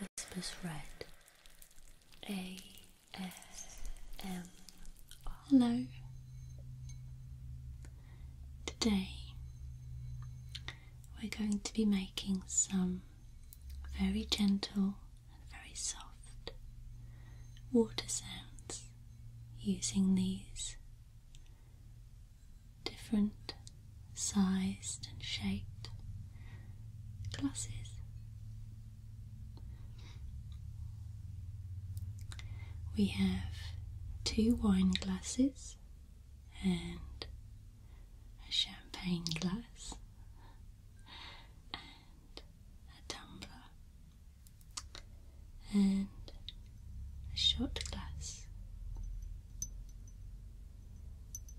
Whispers Red A S M R. Hello. Today we're going to be making some very gentle and very soft water sounds using these different sized and shaped glasses. We have two wine glasses and a champagne glass and a tumbler and a short glass.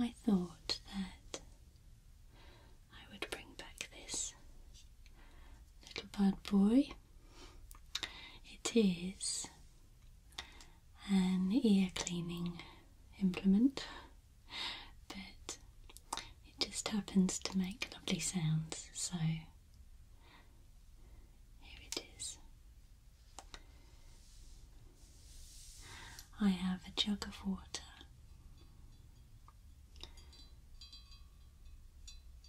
I thought that I would bring back this little bad boy it is an ear cleaning implement, but it just happens to make lovely sounds, so here it is. I have a jug of water.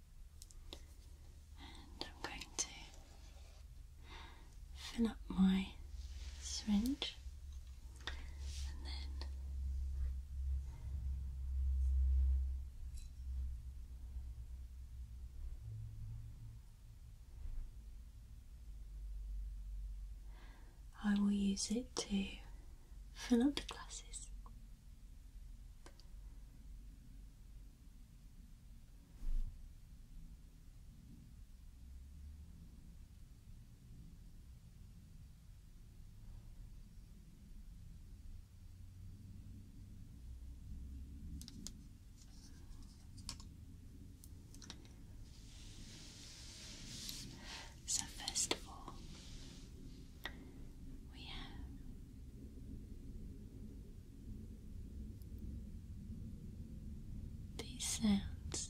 And I'm going to fill up my syringe and then I will use it to fill up the glasses. So, first of all, we have these sounds.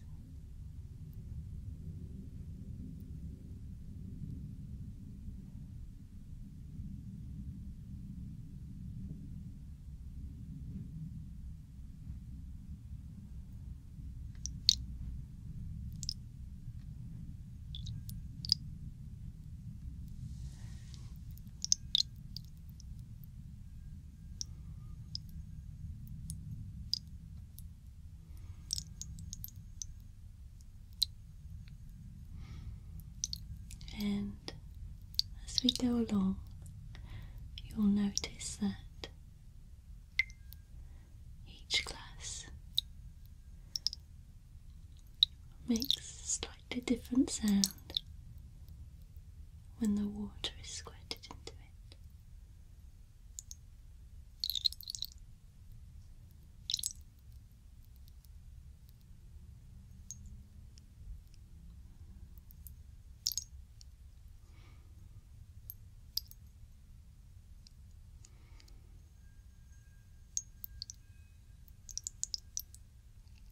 And as we go along, you'll notice that each class makes a slightly different sound when the water is squirted into it.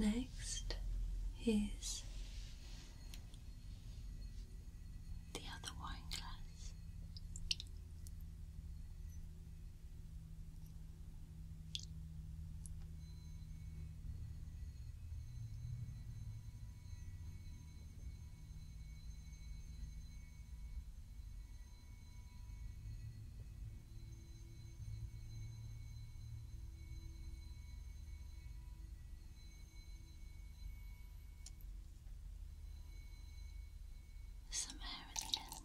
Next is the other wine glass. Some hair at the end.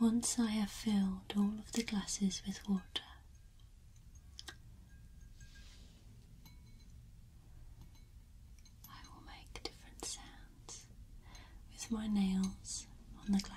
Once I have filled all of the glasses with water, I will make different sounds with my nails on the glass.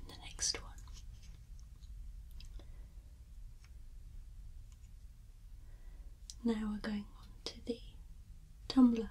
And the next one. Now we're going on to the tumbler.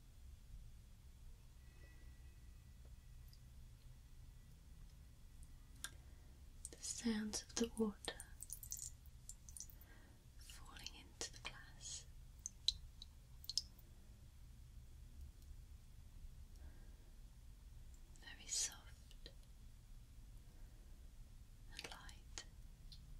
The sounds of the water falling into the glass. Very soft and light.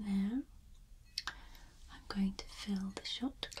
Now I'm going to fill the shot glass.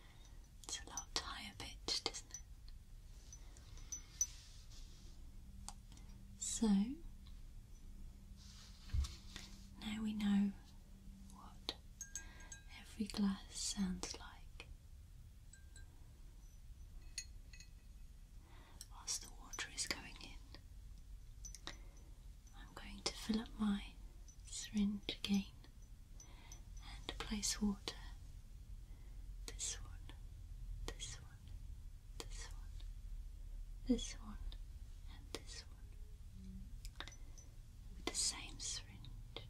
It's a lot higher pitched, isn't it? So now we know what every glass sounds like. Whilst the water is going in, I'm going to fill up my syringe again and place water. This one, this one, this one, this one, and this one. With the same syringe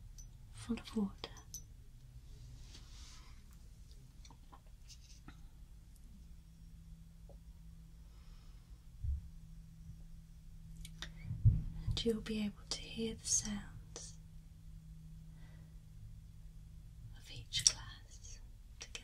full of water. And you'll be able to hear the sounds of each class together.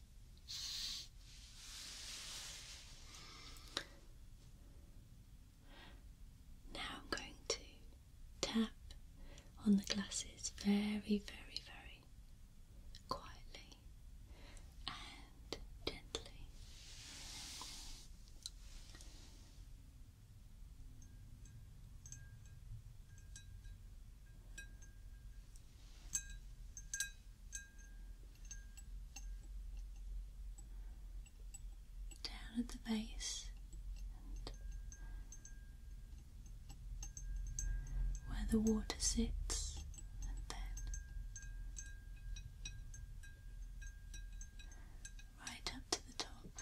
Now I'm going to tap on the glasses very, very, very quietly and gently down at the base where the water sits and then right up to the top.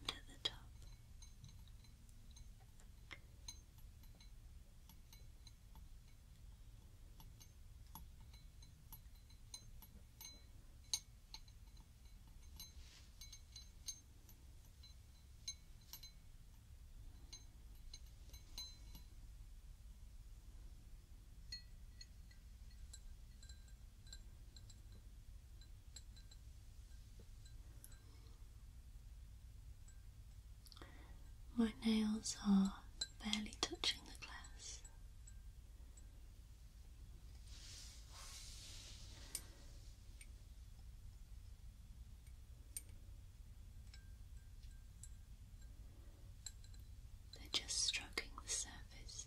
and at the top. My nails are barely touching the glass. They're just stroking the surface.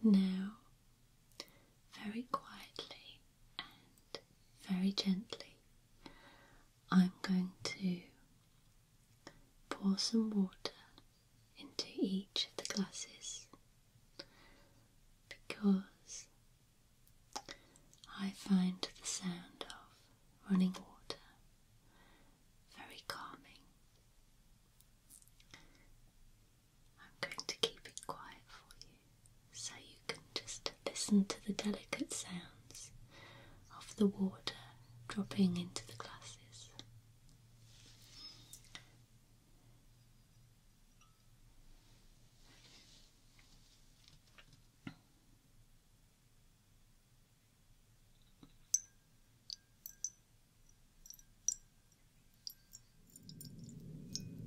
Now, very quietly, and very gently I'm going to pour some water into each of the glasses because I find the sound of running water very calming. I'm going to keep it quiet for you so you can just listen to the delicate sounds of the water dropping into the glasses.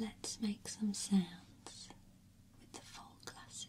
Let's make some sounds with the full glasses.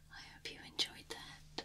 I hope you enjoyed that.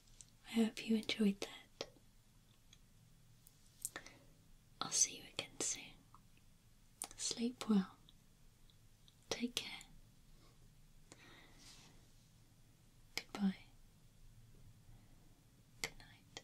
I hope you enjoyed that. I'll see you again soon. Sleep well. Take care. Goodbye. Good night.